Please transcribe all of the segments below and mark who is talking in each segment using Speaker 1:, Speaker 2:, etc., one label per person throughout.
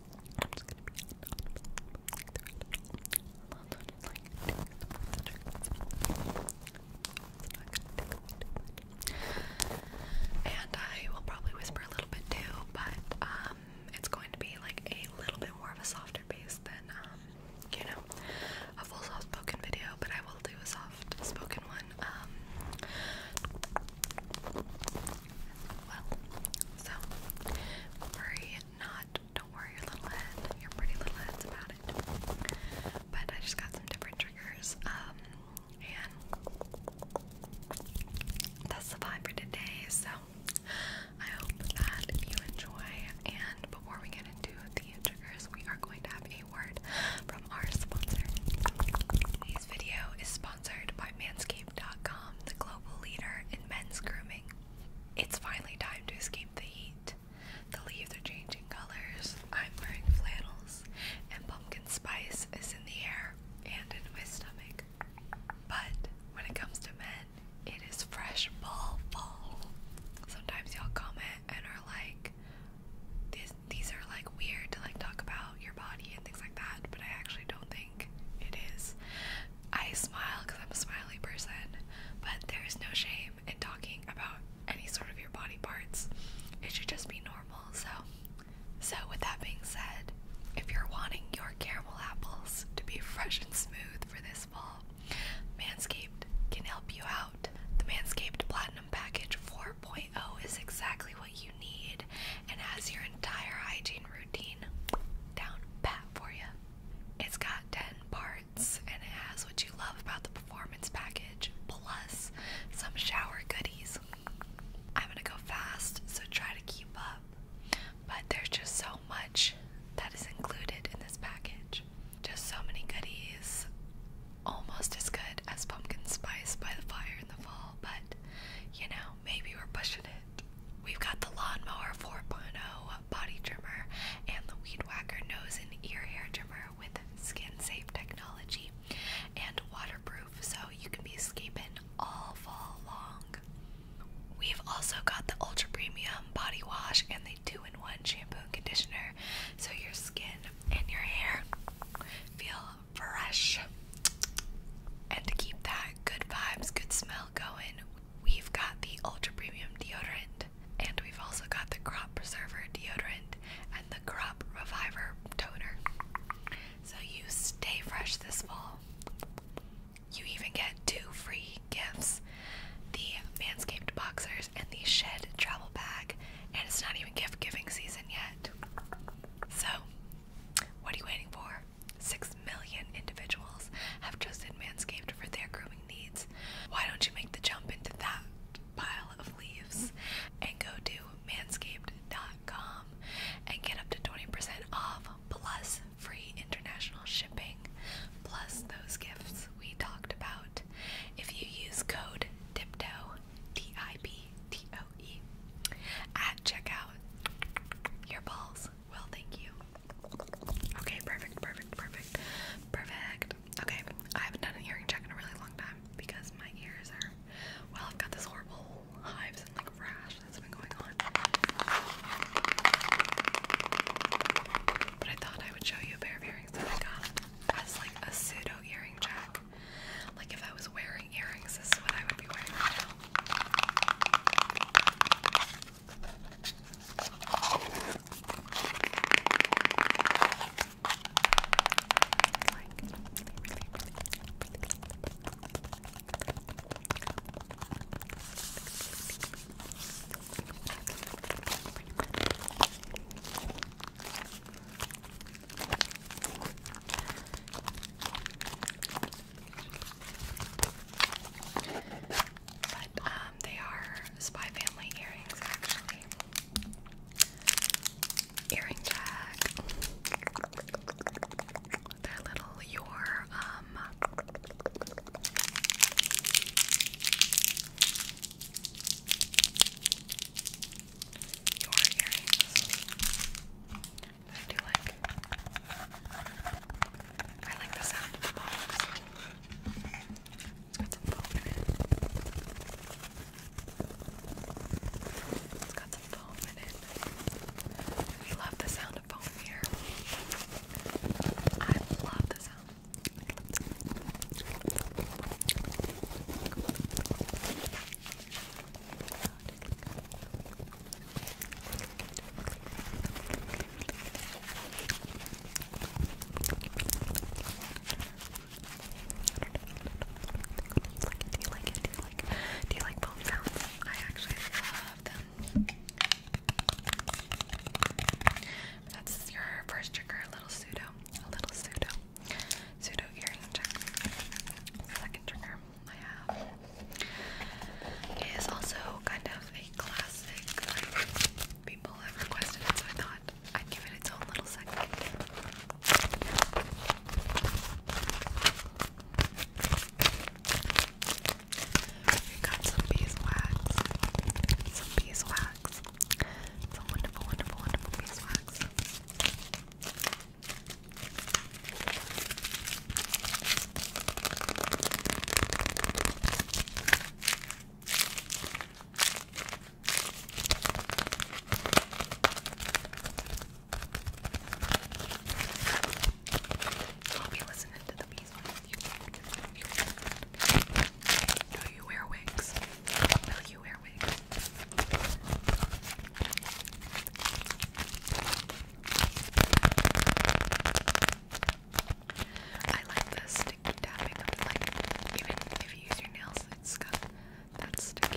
Speaker 1: i and I will probably whisper a little bit too, but um, it's going to be like a little bit more of a softer bass than um, you know, a full soft spoken video. But I will do a soft spoken one. Um, well. So worry not, don't worry your little head, your pretty little heads about it. But I just got some different triggers. Um, and that's the vibe for today. So I hope that you enjoy and before we get into the triggers we are going to have a word from our sponsor. This video is sponsored by manscaped.com, the global leader in men's grooming. It's finally time to escape the heat. The leaves are changing colors. I'm wearing flannels, and pumpkin spice is in the air and in my stomach. But when it comes to men, it is fresh fall fall. Sometimes y'all comment and are like, these, these are like weird to like talk about your body and things like that, but I actually don't think it is. I smile because I'm a smiley person, but there is no shame in talking about any sort of your body parts. It should just be normal. So, so with that being said, if you're wanting your caramel apples to be fresh and smooth for this fall, Manscaped can help you out. The Manscaped Platinum Package 4.0 is exactly what you need and has your entire hygiene routine down pat for you. It's got 10 parts and it has what you love about the performance package, plus some shower goodies. I'm gonna go fast, so try to keep up, but there's just so much that is included in this package. Just so many goodies, almost as good as pumpkin spice by the fire in the fall, but you know, maybe we're pushing it. We've got the Lawnmower 4.0 body trimmer and the Weed Whacker nose and ear hair trimmer with skin safe technology and waterproof so you can be escaping all fall long. We've also got the ultra premium body wash and the two in one shampoo and conditioner so your skin and your hair feel fresh. And to keep that good vibes, good smell going, we've got the ultra premium deodorant. And we've also got the crop preserver deodorant and the crop reviver toner. So you stay fresh this fall. You even get two free gifts the Manscaped Boxers and the Shed Travel Bag. And it's not even gift giving season yet. So, what are you waiting for? Six million individuals have just been Manscaped for their grooming needs. Why don't you make the jump into that pile of leaves and go to manscaped.com and get up to 20% off plus free international shipping plus those gifts we talked about if you use code TIPTOE, D I P T O E. At checkout, your balls will thank you. Okay, perfect, perfect, perfect, perfect. Okay, I haven't done an earring check in a really long time because my ears are. Well, I've got this horrible hives and like rash that's been going on. But I thought I would show you a pair of earrings that I got as like a pseudo earring check. Like if I was wearing wearing earrings, this is what I would be wearing right now. Like, really, really, really. But um, they are Spy Family earrings, actually. Earring tag. They're little your um your earrings. I do like. I like the sound of foam it. has got some foam in it. I love the sound of foam here. I love the sound. Do you like it? Do you like it? Do you like bone sounds? I actually love them. That's your first trigger, a little pseudo, a little pseudo, pseudo earring check. Second trigger, I is also kind of a classic. people have requested it, so I thought I'd give it its own little segment. We got some beeswax. Some beeswax. Some wonderful, wonderful, wonderful beeswax. I'll be listening to the bees you. Do you wear wigs? Will you wear wigs? I like the sticky tapping Even if you use your nails, it's got sticky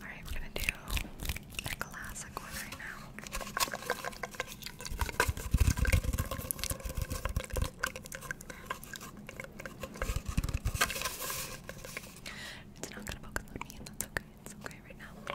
Speaker 1: Alright, we're gonna do a classic one right now. It's not gonna focus on me, and that's okay. It's okay right now.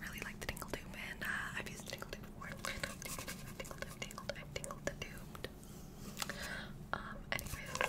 Speaker 1: really like the tingle tube, and uh, I've used the tingle tube before. I've tingled, I've tingled, I've tingled the tube. Um, anyways.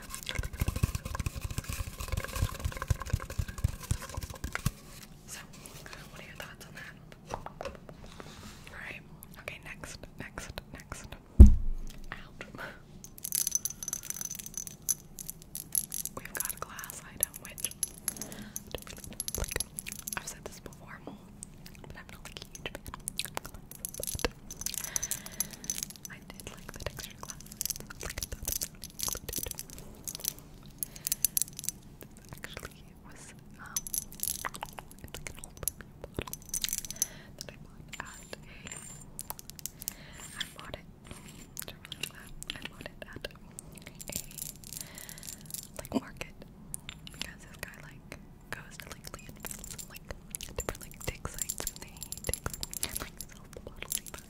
Speaker 1: So, what are your thoughts on that? Alright, okay, next, next, next. Out. We've got a glass item, which I've said this before, but I'm not a huge fan. I did like that extra glasses. Actually, was um, I bought at a. I bought it. I bought it at a like market because this guy like goes to like different like dig sites and they take like sells the bottles even.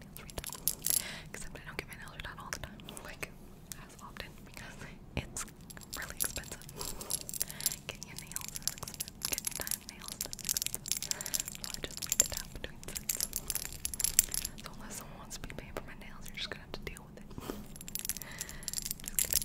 Speaker 1: my nails redone. Except I don't get my nails redone all the time, like as often because it's really expensive. Getting your nails is expensive. Getting your time nails is expensive. So I just made it up between sets. So unless someone wants to be paying for my nails, you're just gonna have to deal with it. Just kidding.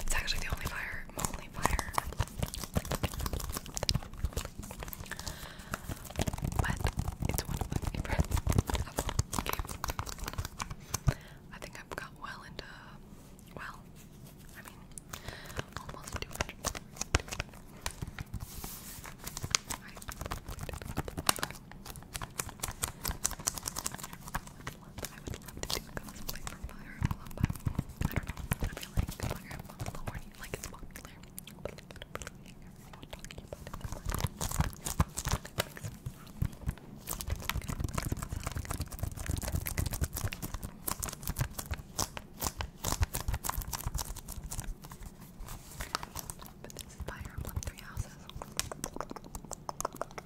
Speaker 1: It's actually the only fire, my only fire. But it's one of my favorites. I think I've got well into, well, I mean, almost 200. I would love to do cosplay for Fire Emblem, but I don't know, I feel like Fire Emblem is the horny, like it's popular, but I don't talking about it that much. But this Three Houses.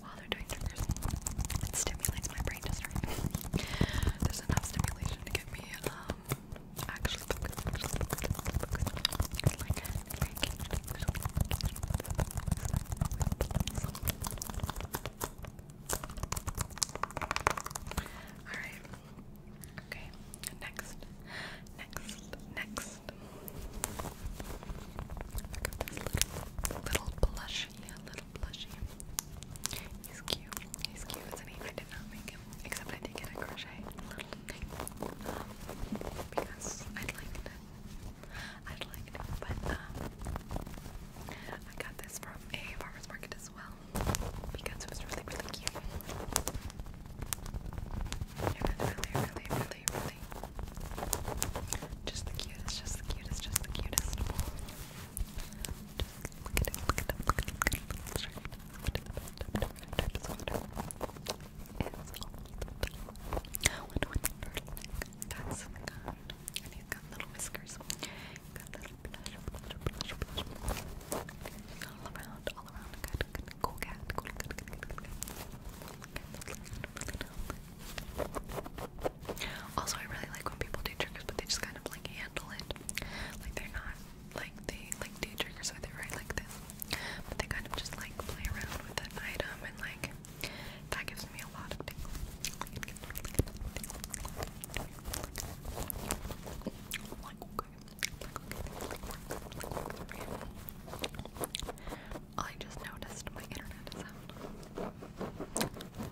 Speaker 1: while they're doing their It stimulates my brain just right. There's enough stimulation to get me actually Alright. Okay. Next. Next. Next. Look at this little, little plushie, little plushy. He's cute. He's cute, isn't he? I did not make him, except I did get a crochet because I'd like to. I'd like to, but um, I got this from a farmer's market as well because it was really, really cute. I really, really, really, really, really just the cutest, just the cutest, just the cutest. Just look at it, look at it, look at it, look at it. Let's try it. It's all the Got some gum, and he's got little whiskers. He's got little blush, blush, blush, blush. All around, all around. Good, good, cool cat, cool, good, good, good, good, good. Also, I really like when people do tricks, but they just kind of like handle it. Like they're not like they like do triggers with it right like this, but they kind of just like play around with an item and like that gives me a lot of tingles. I just noticed my internet is out.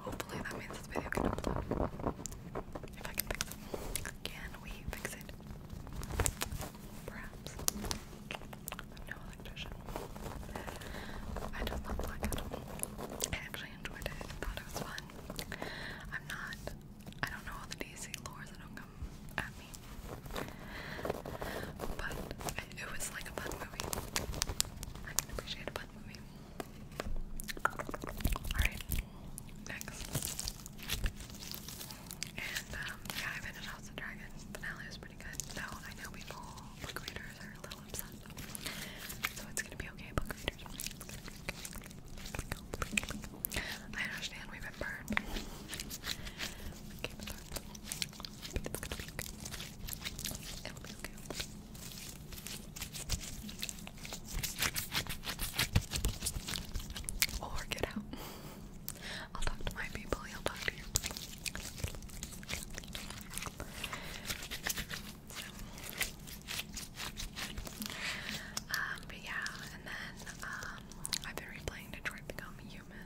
Speaker 1: Hopefully that means this video can upload. If I can fix it. Can we fix it? Perhaps. no electrician. I just love black I actually enjoyed it. thought it was fun. I'm not I don't know all the DC lores, I don't at me. But it was like a fun movie. I can appreciate a fun movie. Alright, next. And um, yeah, I finished House of Dragons. Finale was pretty good. So I know people, book readers, are a little upset. So it's gonna be okay, book readers. I understand we've been burned. But it's out. I'll talk to my people, you'll talk to your but yeah, and then I've been replaying Detroit Become Human.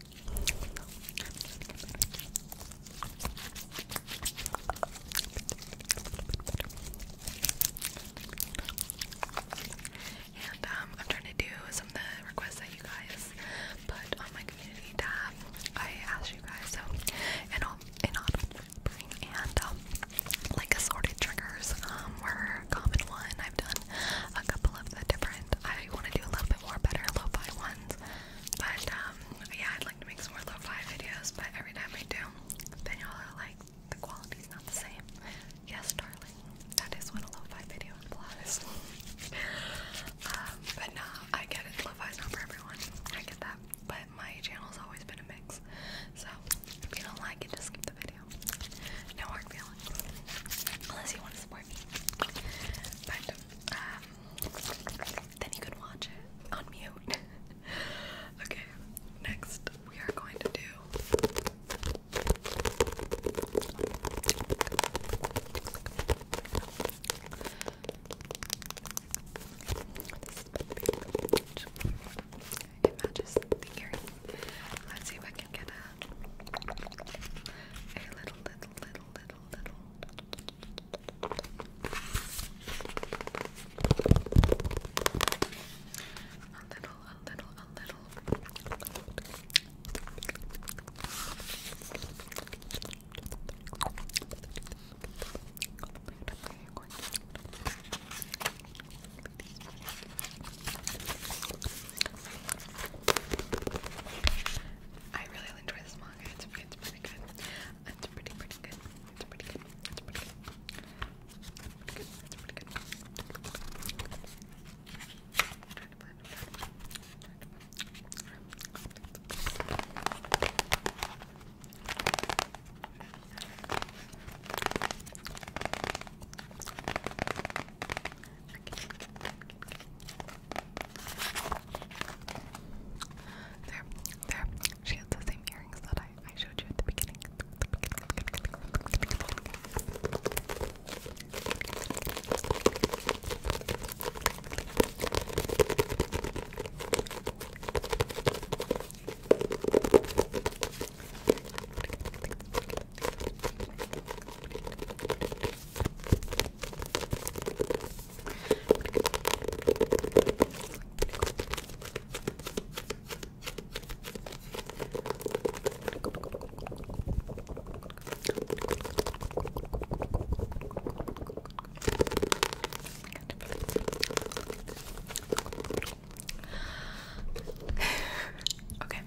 Speaker 1: And um, I'm trying to do some of the requests that you guys put on my community tab. I asked you guys so and all and on and um like assorted triggers um were a common one. I've done a couple of the different I wanna do a little bit more better low fi ones. But um, yeah, I'd like to make some more lo-fi videos, but every time I do, then y'all are like, the quality's not the same. Yes, darling, that is what a lo-fi video implies. Um, but no, I get it. Lo-fi's not for everyone. I get that. But my channel's always been a mix. So if you don't like it, just skip the video. No hard feelings. Unless you want to support me. But um then you can watch it on mute. okay, next we are going to do Let's see if I can get a little, little, little, little, little a little, a little, a little. I really enjoy this one long. It's, it's pretty good. It's pretty, pretty good. It's pretty good. It's pretty good. It's pretty good. Okay. Okay. There, there. She has the same earrings that I, I showed you at the beginning okay,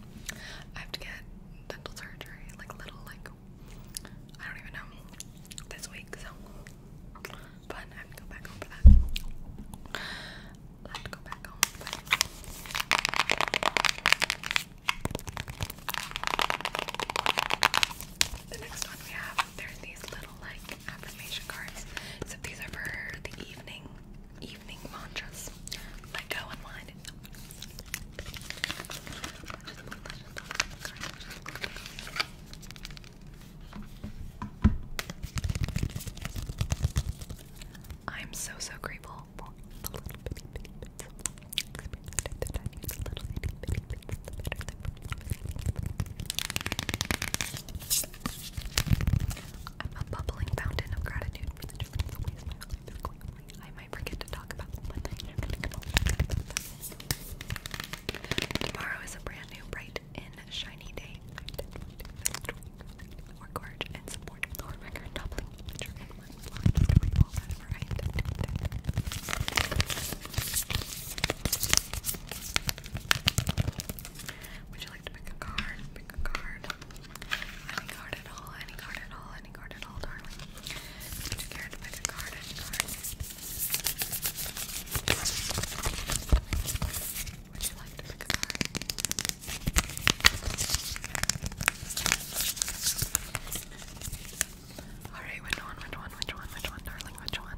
Speaker 1: I have to get dental surgery, like little like I don't even know this week, so but I have to go back home that. have to go back home that. The next one we have, there's these little like affirmation cards. So these are for the evening, evening mantras. Let go and wine I'm so so grateful for the little bitty bits of experience that little itty bitty bits the better the I'm a bubbling fountain of gratitude for the journey of my life might forget Tomorrow is a brand new, bright and shiny day. Or gorge and support our record doubling future of our Would you like to pick card? a card. Any card at all, any card at all, planning garden all darling. Put your garden by the garden Would you like to pick a card? Alright, which one, which one, which one, which one, darling, which one?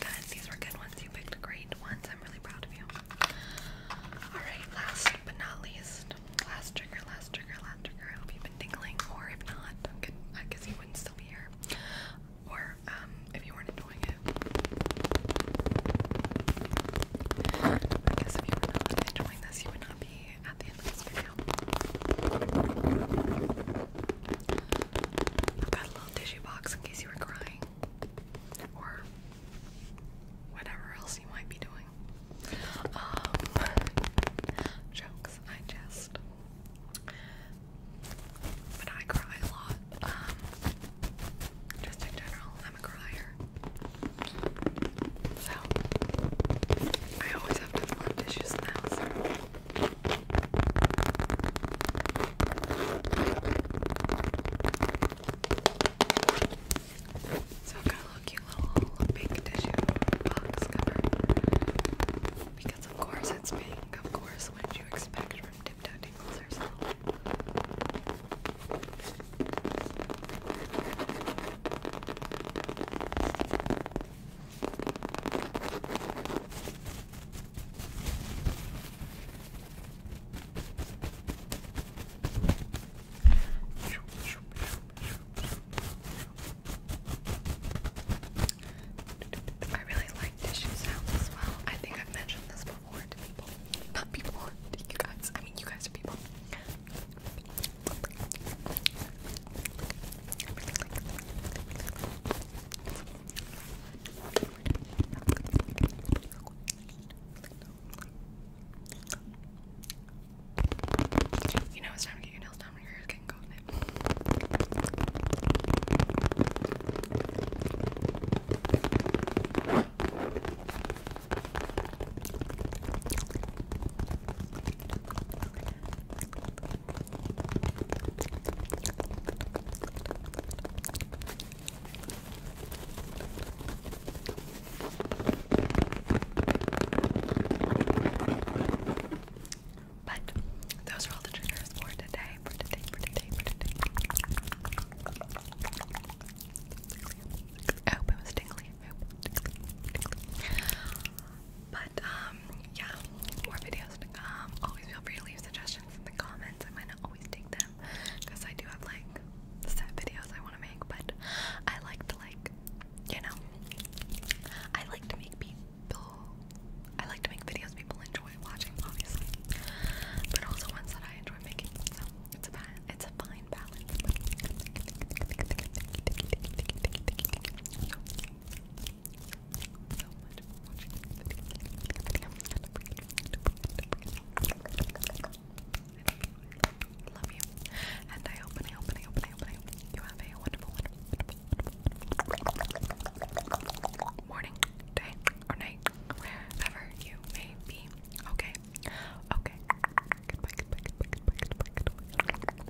Speaker 1: Guys, these were good ones. You picked great ones. I'm really proud of you. Alright, last but not least, last trigger, last trigger, last trigger. I hope you've been tingling, or if not, good, I you wouldn't still be here. Or um, if you weren't enjoying it. I if you were not enjoying this, you would not be at the end of this video. I've got a little tissue box in case you were crying or whatever else you might be doing. Um, jokes, I jest. But I cry a lot. Um, just in general, I'm a crier. So, I always have to have tissues in the so I've a cute little pink tissue box cover. Because of course it's pink, of course, what did you expect from Tiptoe Tingles herself? I really like tissue sounds as well. I think I've mentioned this before to people. Not people, to you guys. I mean, you guys are people. You know it's time to get your nails done when your hair is getting cold in it. But those are all the triggers for today, for today, for today, for today. I hope it was tingly. But um, yeah, more videos to come. Always feel free to leave suggestions in the comments. I might always take them because I do have like set videos I want to make, but I like to like, you know, I like to make people. I like to make videos people enjoy watching, obviously, but also ones that I enjoy making. So it's a it's a fine balance so Love you. And I hope I hope I hope I hope, you have a wonderful, wonderful morning, day, or night, wherever you may be. Okay. Okay.